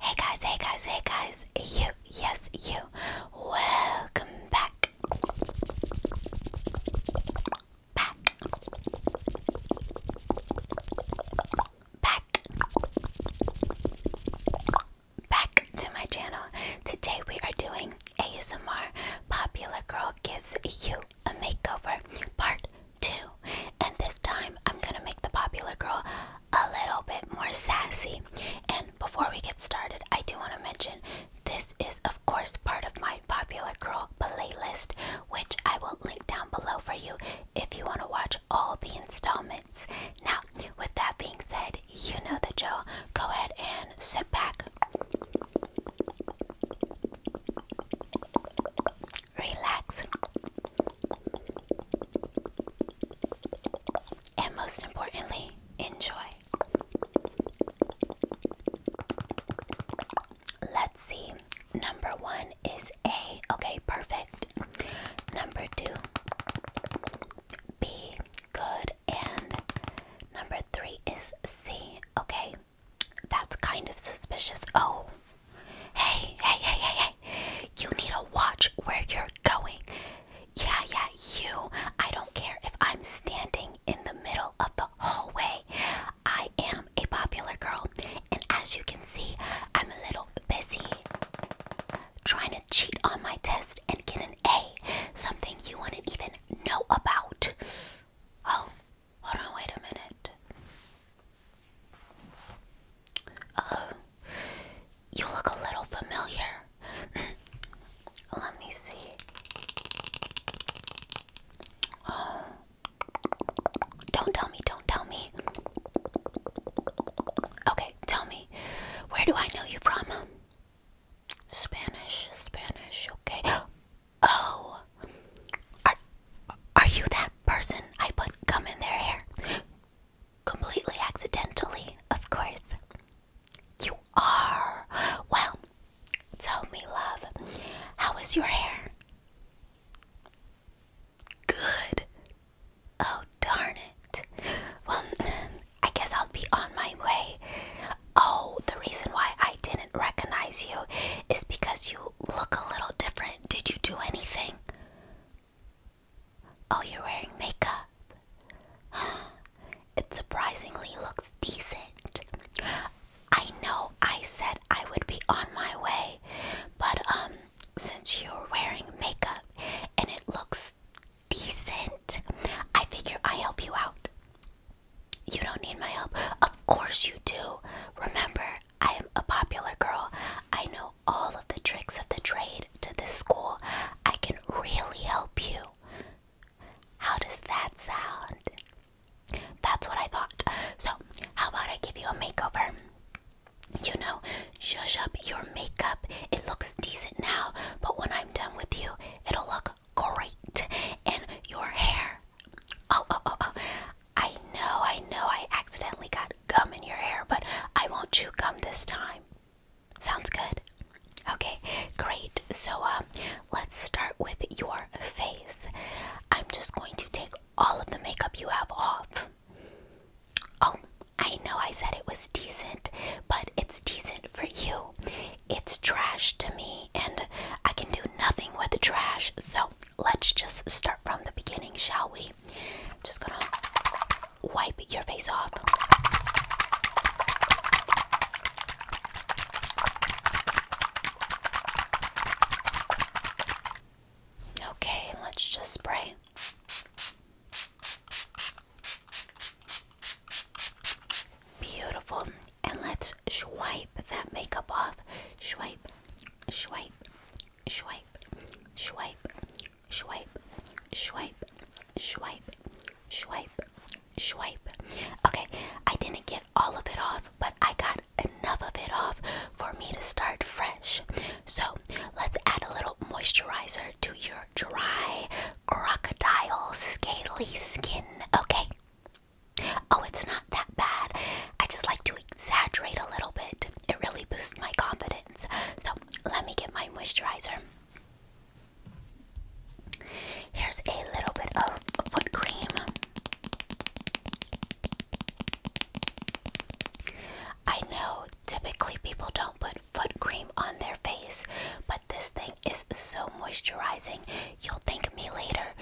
Hey guys, hey guys, hey guys, you, yes, you, welcome back. Back. Back. Back to my channel. Today we are doing ASMR Popular Girl Gives You a makeover part two. And this time I'm gonna make the popular girl a little bit more sassy. And before we get started, I do wanna mention this is, of course, part of my popular girl playlist, which I will link down below for you if you wanna watch all the installments. Now, with that being said, you know the drill. Go ahead and sit back relax, and most importantly, enjoy. Let's see. Number one is A. Okay, perfect. Number two, B. Good. And number three is C. Okay, that's kind of suspicious. Oh, hey, hey, hey, hey, hey. You need to watch where you're going. Yeah, yeah, you. I don't care if I'm standing in the middle of the hallway. I am a popular girl, and as you can see, I'm a little busy trying to cheat on my test and get an A, something you wouldn't even know about. Oh, Hold on, wait a minute. Oh, you look a little familiar. Let me see. Oh. Don't tell me, don't tell me. Okay, tell me. Where do I know you from? Spanish, Spanish, okay. Oh, are, are you that person I put gum in their hair? Completely accidentally, of course. You are. Well, tell me, love, how is your hair? Good. Oh, darn it. Well, I guess I'll be on my way. Oh, the reason why I didn't recognize you is because look a little different. Did you do anything? Oh, you're wearing makeup. It surprisingly looks decent. I know I said I would be on my way, but um since you're wearing makeup and it looks decent, I figure I help you out. You don't need my help. Of course you do. Remember, I am a popular girl. I know all of the tricks of the trade to this school. I can really help you. How does that sound? That's what I thought. So, how about I give you a makeover? You know, shush up your makeup. It looks decent now, but when I'm done with you, it'll look great. And your hair, Oh, oh, oh, oh. I know, I know I accidentally got gum in your hair, but I won't chew gum this time. Sounds good? Okay, great. So, um, let's start with your face. I'm just going to take all of the makeup you have off. Oh, I know I said it was decent, but it's decent for you. It's trash to me, and I can do nothing with the trash, so let's just start from the beginning, shall we? Just gonna wipe your face off. Okay, let's just spray. Beautiful and let's swipe that makeup off. Swipe, swipe, swipe, swipe, swipe, swipe, swipe, swipe, swipe. Okay, I didn't get all of it off, but I got enough of it off for me to start fresh. So let's add a little moisturizer to your dry crocodile scaly skin. Okay. Oh, it's not that bad. I just like to exaggerate a little bit. It really boosts my confidence. So, let me get my moisturizer. Here's a little bit of foot cream. I know typically people don't put foot cream on their face, but this thing is so moisturizing. You'll thank me later.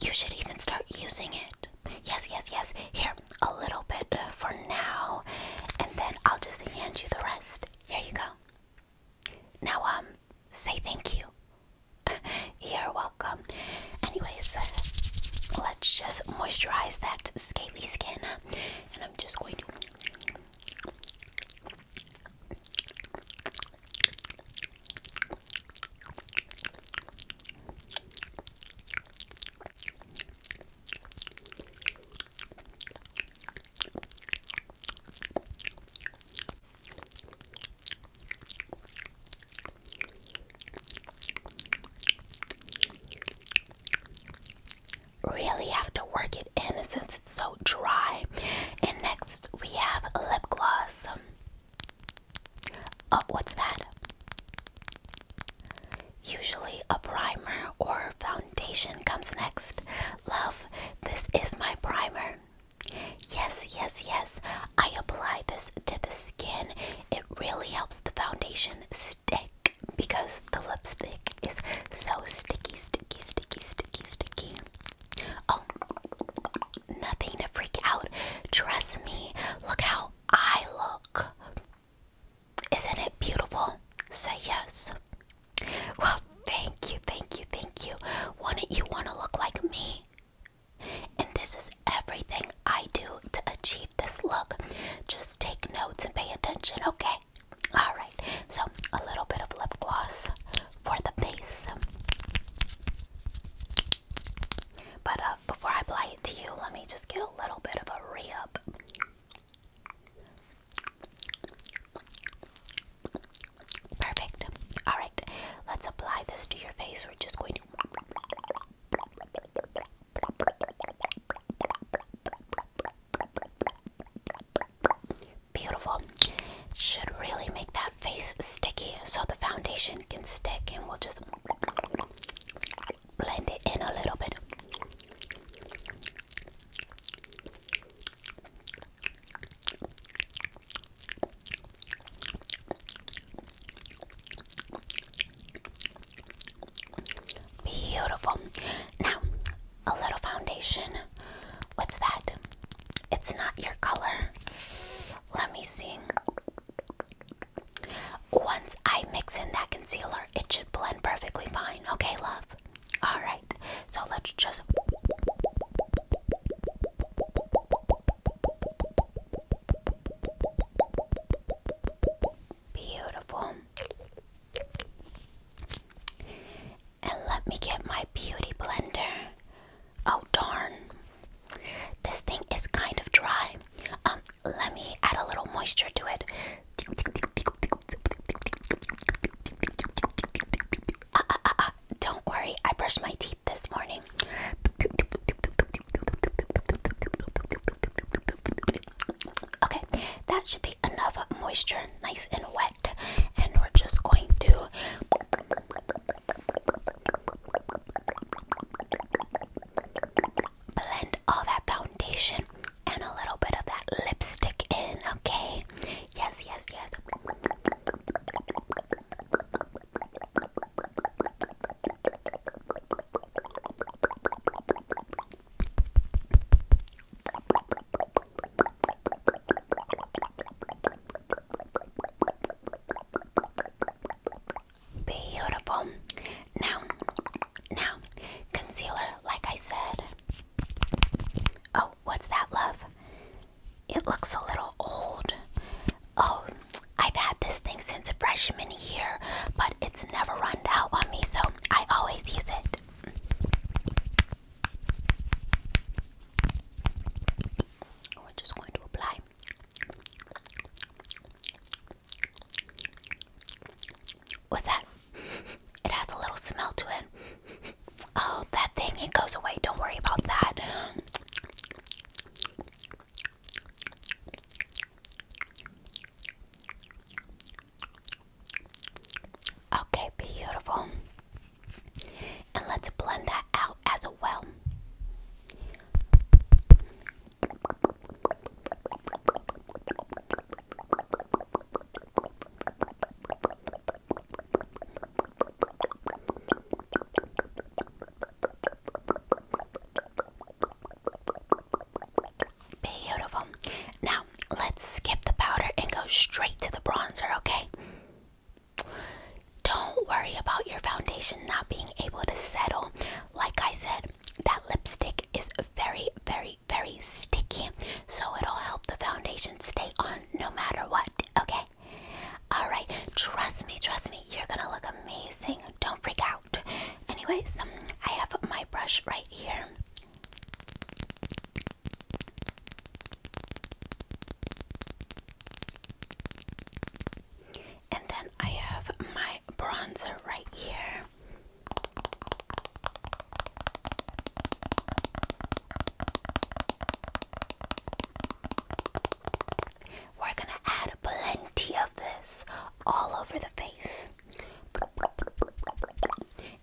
You should even start using it. Yes, yes, yes. Here, a little bit uh, for now, and then I'll just hand you the rest. Here you go. Now, um, say thank you. You're welcome. Anyways, uh, let's just moisturize that scaly skin, and I'm just going to. Really have to work it in since it's so dry. And next we have lip gloss. Oh, what's that? Usually a primer or foundation comes next. Love, this is my primer. Yes, yes, yes. I apply this to the skin. It really helps the foundation stick because the lipstick is so sticky, sticky, sticky, sticky, sticky. Oh, nothing to freak out. Trust me. Look how I look. Isn't it beautiful? Say yes. Well, thank you, thank you, thank you. Wouldn't you want to look like me? And this is everything I do to achieve this look. Just take notes and pay attention, okay? Alright, so a little bit of lip gloss for the face. But uh, before I apply it to you, let me just get a little bit of a re up. Perfect. Alright, let's apply this to your face. We're just going to. Beautiful should really make that face sticky so the foundation can stick and we'll just blend it in a little bit. Beautiful. Now, a little foundation. What's that? It's not your color. Let me see. Once I mix in that concealer, it should blend perfectly fine. Okay, love? Alright, so let's just. Beautiful. And let me get my beauty blender. Oh darn. This thing is kind of dry. Um, let me add a little moisture to it. Uh, uh, uh, uh. Don't worry, I brushed my teeth this morning. Okay, that should be enough moisture, nice and wet. And we're just going to Blend all that foundation and a little bit of that lipstick in, okay? Yes, yes, yes. Beautiful. Now, now, concealer, like I said. Oh, what's that, love? It looks a little old. Oh, I've had this thing since freshman year, but it's never run out on me, so I always use it. We're just going to apply With that? It has a little smell to it. Oh, that thing, it goes away. Don't worry about that. Okay, beautiful. And let's blend that out as well. Beautiful. Now, let's skip the powder and go straight to the bronzer, okay? Don't worry about your foundation not being able to settle. Like I said, that lipstick is very, very, very sticky, so it'll help the foundation stay on no matter what, okay? Alright, trust me, trust me, you're gonna look amazing. Don't freak out. Anyways, um, I have my brush right here. And then I have my bronzer right here. We're gonna add plenty of this all over the face.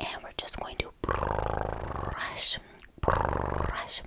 And we're just going to brush, brush,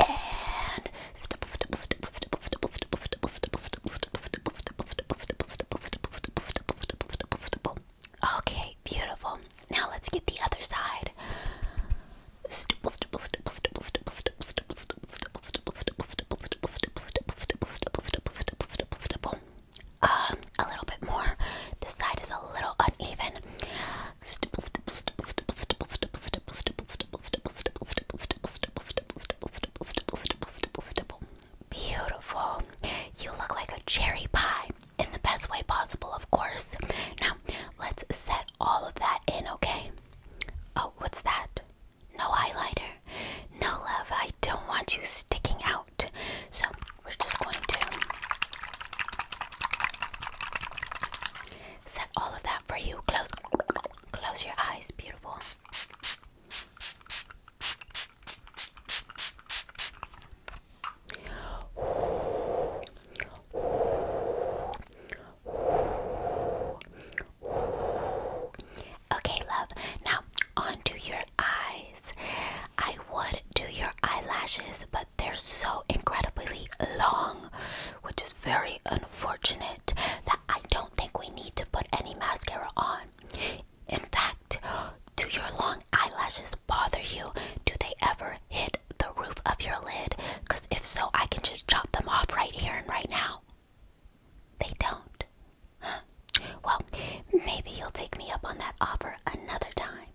and stipple, stipple, stipple, stipple, stipple, stipple, stipple, stipple, stipple, stipple, stipple, stipple, stipple, stipple, stipple, stipple. Okay, beautiful. Now let's get the other side. Stipple, stipple, stipple, stipple, stipple, stipple, stipple, stipple, stipple, stipple, stipple, stipple, stipple, stipple, stipple, stipple, stipple, stipple, stipple, stipple. Um, a little bit more. This side is a little uneven. Stipple, stipple, stipple, stipple, stipple, stipple, stipple, stipple, stipple, stipple, stipple, stipple, stipple, stipple, stipple, stipple, Beautiful. You look like a cherry pie in the best way possible, of course. Now, let's set all of that in, okay? Oh, what's that? No highlighter. No love, I don't want you sticking out. So, we're just going to set all of that for you. Close, close your eyes, beautiful. Okay, love. Now, onto your eyes. I would do your eyelashes, but they're so incredibly long, which is very unfortunate that I don't think we need to put any mascara on. In fact, do your long eyelashes bother you? Do they ever hit the roof of your lid? Because if so, I can just chop them off right here and right now. They don't. Well, maybe you'll take me up on that offer another time.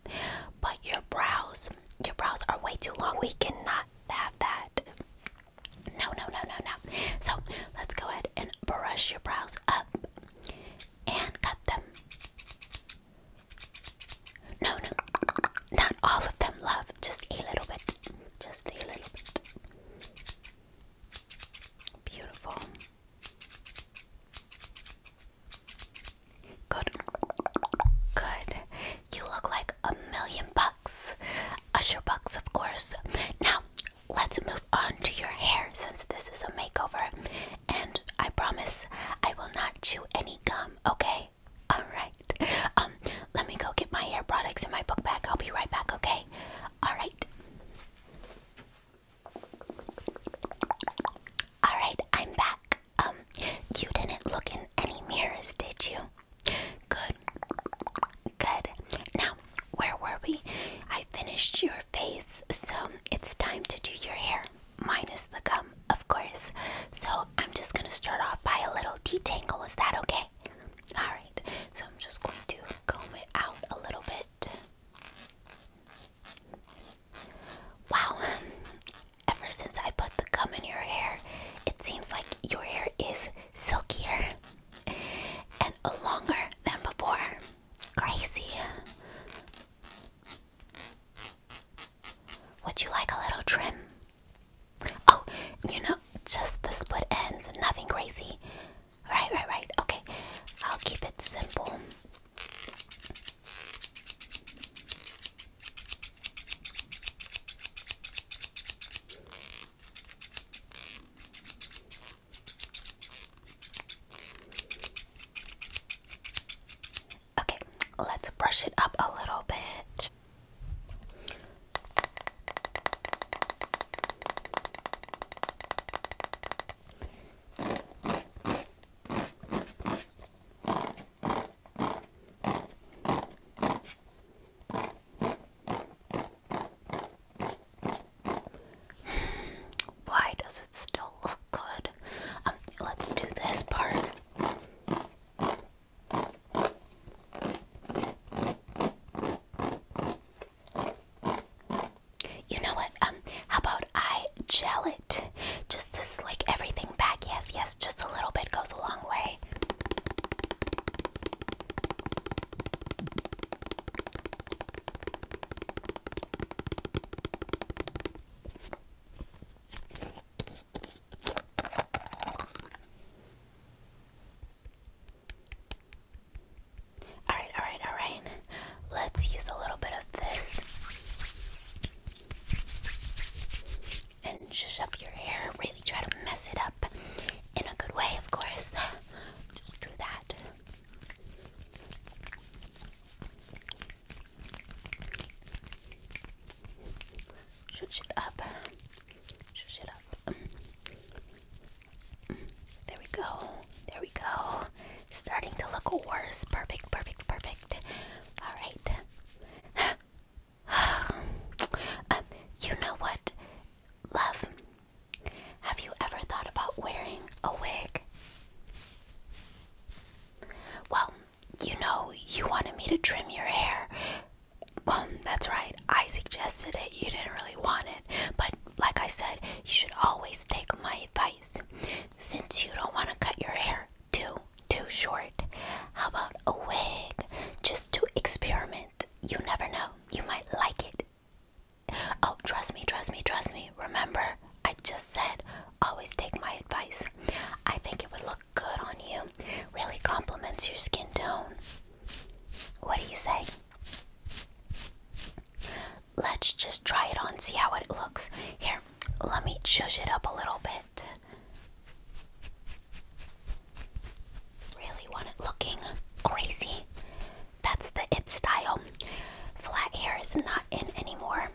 But your brows, your brows are way too long. We cannot have that. No, no, no, no, no. So let's go ahead and brush your brows up and cut them. No, no, not all of them, love. Just a little bit. Just a little bit. Beautiful. Good. Good. You look like a million bucks. Usher Bucks, of course. Now, let's move on to your hair since this is a makeover. And I promise I will not chew any gum, okay? Alright. Um, let me go get my hair products in my book bag. I'll be right back, okay? Alright. Alright, I'm back. Um, you didn't look in any mirrors, did you? Good. Good. Now, where were we? I finished your face, so it's time to do your hair, minus the gum, of course. So I'm just gonna start off by a little detangle. Is that okay? Alright, so I'm just going to comb it out a little bit. Wow, ever since I put the gum in your hair, it seems like your hair is silkier and longer than before. Crazy. Would you like a little trim? Oh, you know, just the split ends, nothing crazy. Right, right, right. Okay, I'll keep it simple. Okay, let's brush it up a little bit. Why does it still look good? Um, let's do this part. You know what? Um, how about I gel it? Just to slick everything back. Yes, yes, just a little bit goes a long way. Okay. All right, all right, all right. Let's use a little bit of this and shush up your hair. Really try to mess it up in a good way, of course. Just do that. Shush it up. Shush it up. Mm. There we go. There we go. Starting to look worse. Perfect, perfect, perfect. Alright. Um, you know what, love? Have you ever thought about wearing a wig? Well, you know, you wanted me to trim your hair. Well, that's right. I suggested it. You didn't really want it. But like I said, you should always take my advice. Since you don't want to cut your hair, do too short? How about a wig just to experiment? You never know, you might like it. Oh, trust me, trust me, trust me. Remember, I just said always take my advice. I think it would look good on you, really complements your skin tone. What do you say? Let's just try it on, see how it looks. Here, let me shush it up a little bit. Really want it looking crazy. That's the it style. Flat hair is not in anymore.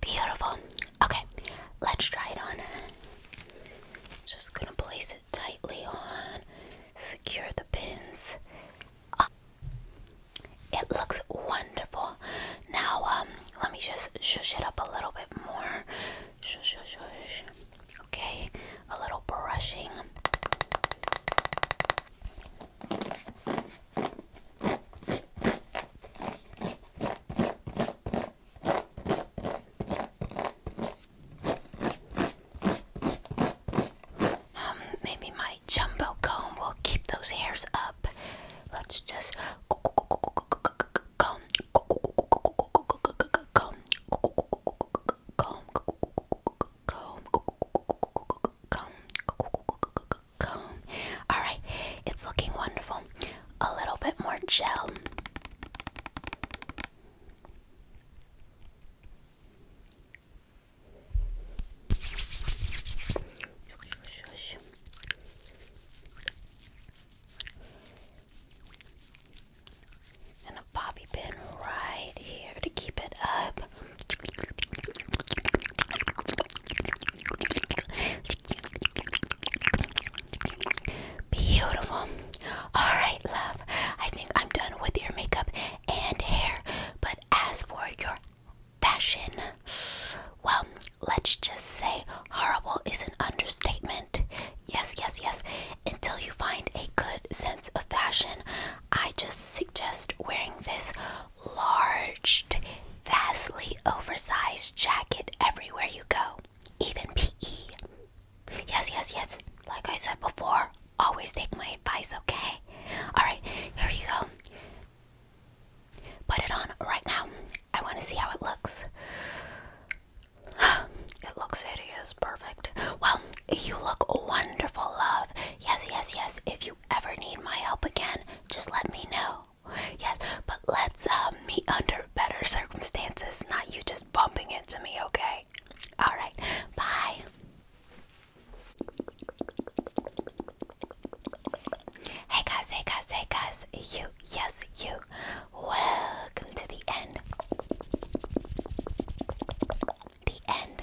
Beautiful. Okay, let's try it on. Just gonna place it tightly on, secure the pins. Oh, it looks wonderful. Now, um, let me just shush it up a little bit more. Shush, shush, shush. Okay, a little brushing. Um, maybe my jumbo comb will keep those hairs up. Let's just comb. Comb. Comb. Comb. Comb. Alright, it's looking wonderful. A little bit more gel. And a bobby pin right here to keep it up. Beautiful. All right, love. I think I'm done with your makeup and hair. But as for your fashion, well, let's just say horrible is an understatement. Yes, yes, yes. Until you find a good sense of fashion, I just suggest wearing this large, vastly oversized jacket everywhere you go, even PE. Yes, yes, yes. Like I said before, always take my advice, okay? Alright, here you go. Put it on right now. I want to see how it looks. It looks hideous. Perfect. Well, you look wonderful, love. Yes, yes, yes. If you ever need my help again, just let me know. Yes, but let's uh, meet under better circumstances, not you just bumping into me, okay? All right, bye. Hey guys, hey guys, hey guys, you, yes, you. Welcome to the end. The end